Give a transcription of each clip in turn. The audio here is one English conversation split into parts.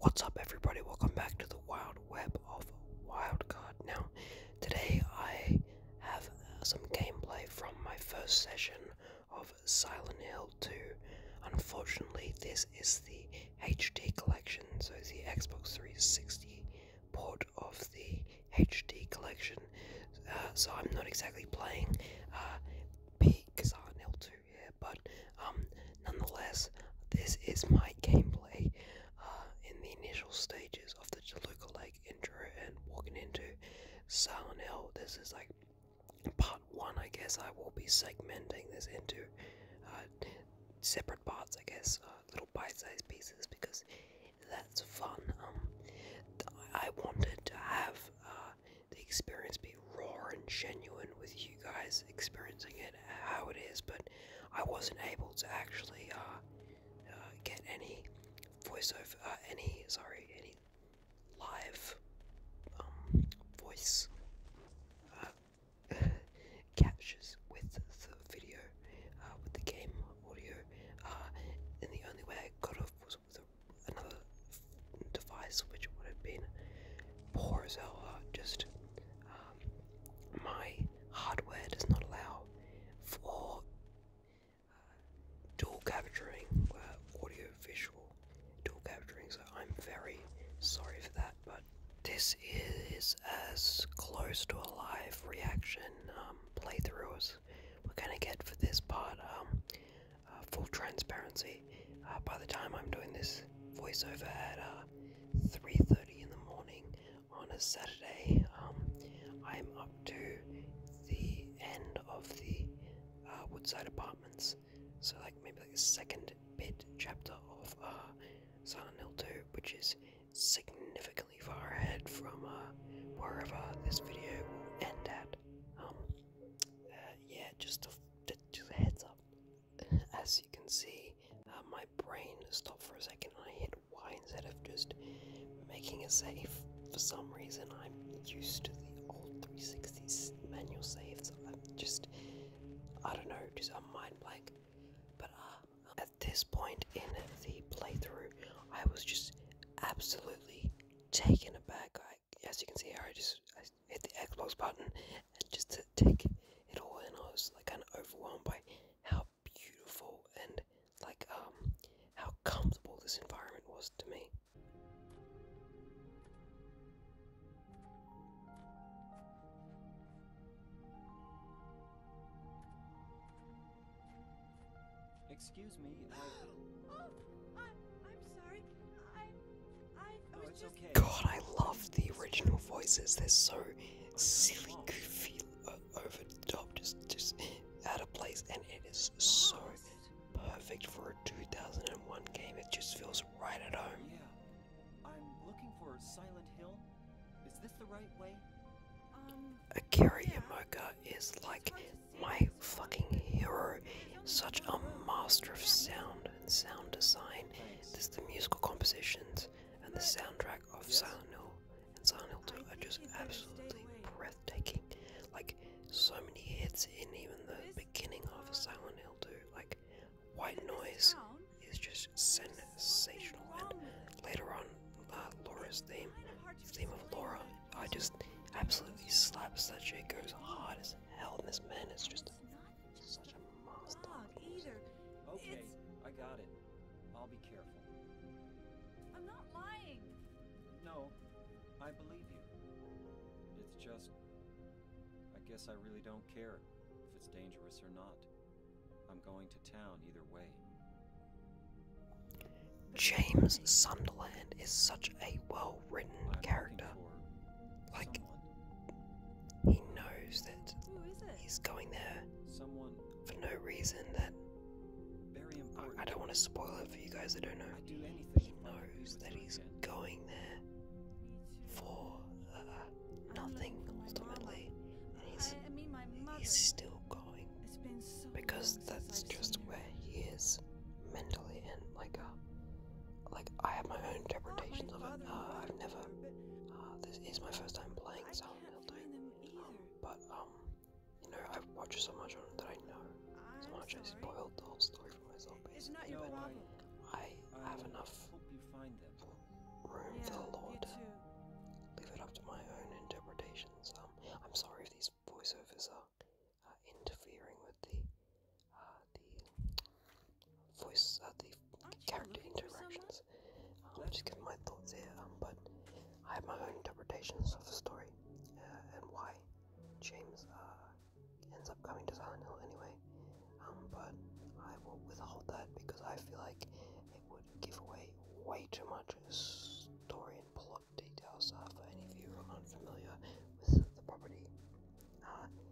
What's up, everybody? Welcome back to the Wild Web of Wildcard. Now, today I have some gameplay from my first session of Silent Hill 2. Unfortunately, this is the HD collection, so the Xbox 360 port of the HD collection. Uh, so I'm not exactly playing uh, peak Silent Hill 2 here, but um, nonetheless, this is my gameplay uh, in the initial stages of the Jaluka Lake intro and walking into Silent Hill. This is like part one, I guess. I will be segmenting this into uh, separate parts, I guess, uh, little bite-sized pieces because that's fun. Um, I wanted to have the experience be raw and genuine with you guys experiencing it how it is, but I wasn't able to actually uh, uh, get any voiceover, uh, any sorry, any live um, voice uh, captures with the video, with the game audio, uh, and the only way I got off was with another device, which would have been poor as hell. Uh, just um, my hardware does not allow for uh, dual capturing, uh, audio visual dual capturing. So I'm very sorry for that, but this is as close to a live reaction um, playthrough as we're gonna get for this part. Um, full transparency. Uh, by the time I'm doing this voiceover at 3:30 uh, in the morning on a Saturday, um, I'm up to the end of the uh, Woodside Apartments. So like maybe like the second bit chapter of uh, Silent Hill 2, which is significantly far ahead from wherever this video will end at. Um, yeah, just just heads up as you can see, uh, my brain stopped for a second and I hit Y instead of just making a save. For some reason, I'm used to the old 360s manual saves. I'm just, I don't know, just a mind blank. But uh, at this point in the playthrough, I was just absolutely taken aback. as you can see, I just hit the Xbox button and just to take it all in, I was like kind of overwhelmed by how beautiful and like um how comfortable this environment was to me. Excuse me. Oh, God, I love the original voices. They're so silly, goofy, over the top, just, just out of place, and it is so perfect for a 2001 game. It just feels right at home. Yeah, I'm looking for Silent Hill. Is this the right way? Um, Akira Yamoka is like my fucking hero. Such a master of sound sound design. This the musical compositions and the soundtrack of Silent Hill and Silent Hill 2 are just absolutely breathtaking. Like so many hits in even the beginning of Silent Hill 2. Like White Noise is just sensational, and later on, uh, Laura's theme, the theme of Laura, I just absolutely slaps that shit goes hard as hell. in this man It's just She's such a monster. either. Okay, I got it. I'll be careful. I'm not lying. No, I believe you. It's just... I guess I really don't care if it's dangerous or not. I'm going to town either way. James Sunderland is such a well-written character. Like, he knows that he's going there for no reason that very important. I, don't want to spoil it for you guys that don't know. he knows that he's going there for uh, nothing ultimately. And he's, still going because that's just where he is mentally and like a uh, like I have my own interpretations of it. Uh, I've never. Uh, this is my first time playing Silent um, but um, you know I've watched so much on it that I know so much. I spoiled the whole story for myself, basically. But I have enough room for the lore leave it up to my own interpretations. Um, I'm sorry if these voiceovers are uh, interfering with the the voice, uh, the character interactions. Um, I'm just giving my thoughts here, um, but I have my own interpretations of the story uh, and why James uh, ends up coming to Silent Hill anyway. Um, but I will withhold that because I feel like it would give away way too much story and plot details uh, for any of you who are unfamiliar with the property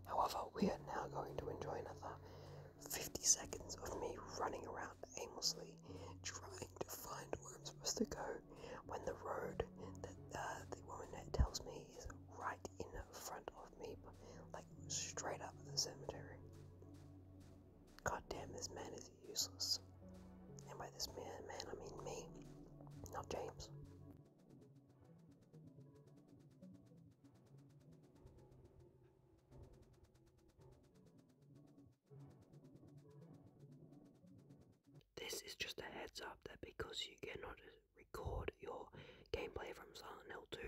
however, we are now going to enjoy another 50 seconds of me running around aimlessly trying to find where I'm supposed to go when the road that uh, the woman tells me is right in front of me, but like straight up the cemetery. Goddamn, this man is useless. And by this man, man, I mean me, not James. This is just a heads up that because you cannot record your gameplay from Silent Hill 2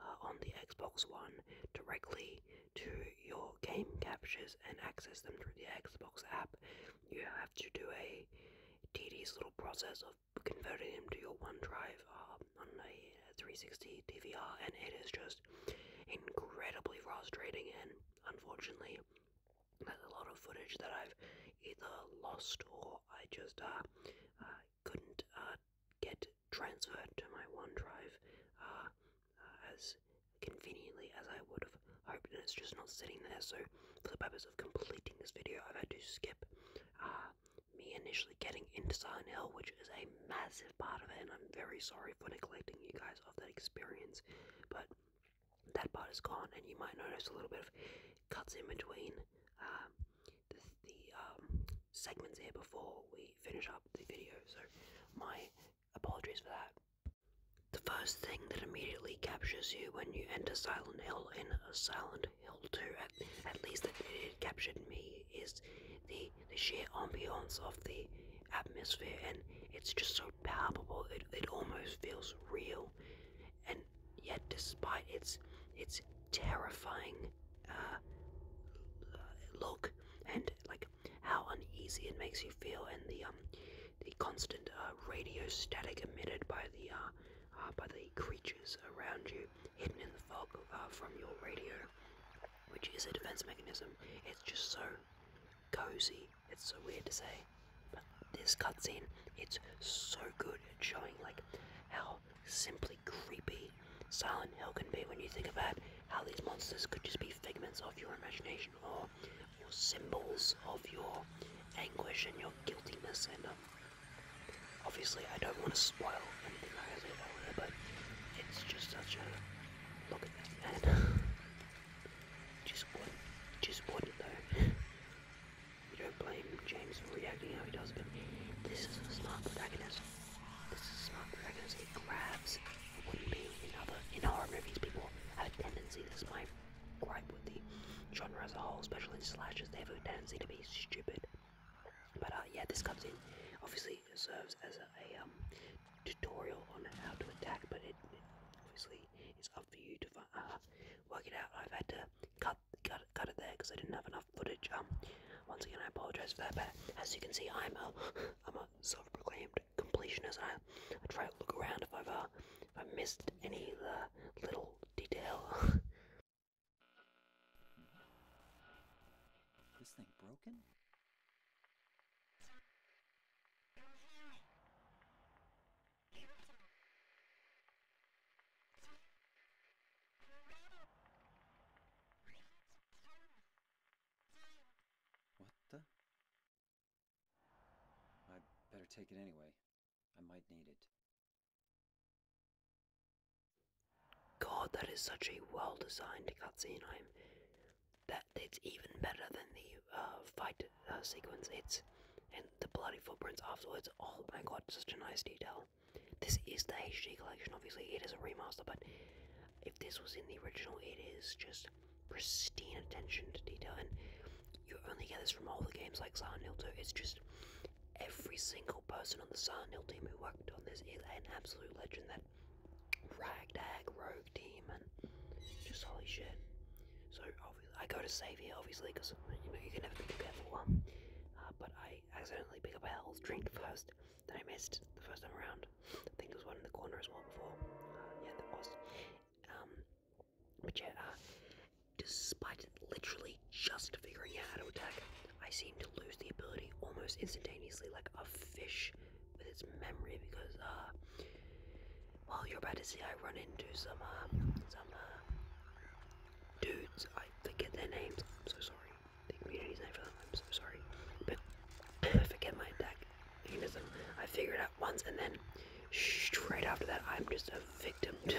uh, on the Xbox One directly to your game captures and access them through the Xbox app, you have to do a tedious little process of converting him to your OneDrive uh, on a uh, 360 DVR, and it is just incredibly frustrating. And unfortunately, there's a lot of footage that I've either lost or I just uh, uh couldn't uh, get transferred to my OneDrive uh, uh, as conveniently as I would have hoped, and it's just not sitting there. So, for the purpose of completing this video, I've had to skip uh, me initially getting into Silent Hill, which is a massive part of it, and I'm very sorry for neglecting you guys of that experience, but that part is gone, and you might notice a little bit of cuts in between um, the, the um, segments here before we finish up the video, so my apologies for that. The first thing that immediately captures you when you enter Silent Hill in a Silent he At, at least that it captured me is the the sheer ambiance of the atmosphere, and it's just so palpable. It it almost feels real, and yet despite its its terrifying uh, look and like how uneasy it makes you feel, and the um the constant uh, radio static emitted by the uh, uh, by the creatures around you, hidden in the fog uh, from your radio, which is a defense mechanism. It's just so cozy. It's so weird to say, but this cuts in. it's so good at showing like how simply creepy Silent Hill can be when you think about how these monsters could just be figments of your imagination or symbols of your anguish and your guiltiness and um, Obviously, I don't want to spoil anything that I said earlier, but it's just such a look at that man. just what, just what though. you don't blame James for reacting how he does, but this is a smart protagonist. This is a smart protagonist. It grabs. It wouldn't be in other in horror movies. People have a tendency. This is my gripe with the genre as a whole, especially in slashes. They have a tendency to be stupid. But uh, yeah, this comes in. Obviously, it serves as a, um, tutorial on how to attack, but it, obviously is up for you to uh, work it out. I've had to cut cut cut it there because I didn't have enough footage. Um, once again, I apologize for that. But as you can see, I'm a I'm a self-proclaimed completionist. I try to look around if I've uh, if I missed any little detail. This thing broken? What the? i better take it anyway. I might need it. God, that is such a well designed cutscene. I'm that it's even better than the uh, fight uh, sequence. It's and the bloody footprints afterwards. Oh my god, such a nice detail. This is the HD collection. Obviously, it is a remaster, but if this was in the original, it is just pristine attention to detail. And you only get this from all the games like Silent Hill 2. It's just every single person on the Silent Hill team who worked on this is an absolute legend. That ragtag rogue team, and just holy shit. So obviously, I go to save here, obviously, because you know you can never be too careful. Um, uh, but I accidentally pick up a health drink first that I missed the first time around. I think there was one in the corner as well before. Uh, yeah, there was. Um, but yeah, uh, despite literally just figuring out how to attack, I seem to lose the ability almost instantaneously, like a fish with its memory, because, uh, well, you're about to see I run into some, uh, some, uh, dudes. I forget their names. I'm so sorry. The community's name for them. I'm so sorry. I forget my attack I figure it out once, and then straight after that, I'm just a victim.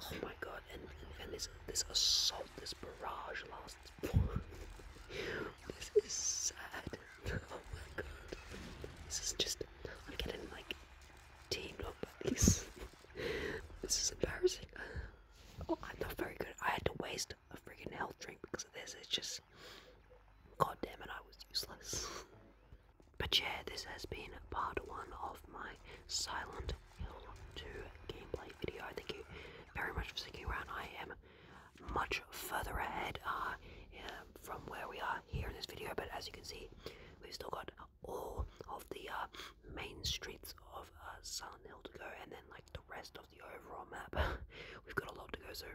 Oh my god, and, and, this, this assault, this barrage last This is sad. Oh my god. This is just, I'm getting like teamed up by this is embarrassing. Oh, I'm not very good. I had to waste a freaking health drink because of this. It's just, god damn it, I was useless. But yeah, this has been part one of my silent to gameplay video. Thank you very much for sticking around. I am much further ahead uh, from where we are here in this video, but as you can see, we've still got all of the uh, main streets of uh, Silent Hill to go, and then like the rest of the overall map. we've got a lot to go, so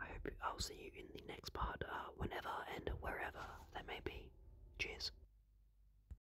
I hope I'll see you in the next part, uh, whenever and wherever that may be. Cheers.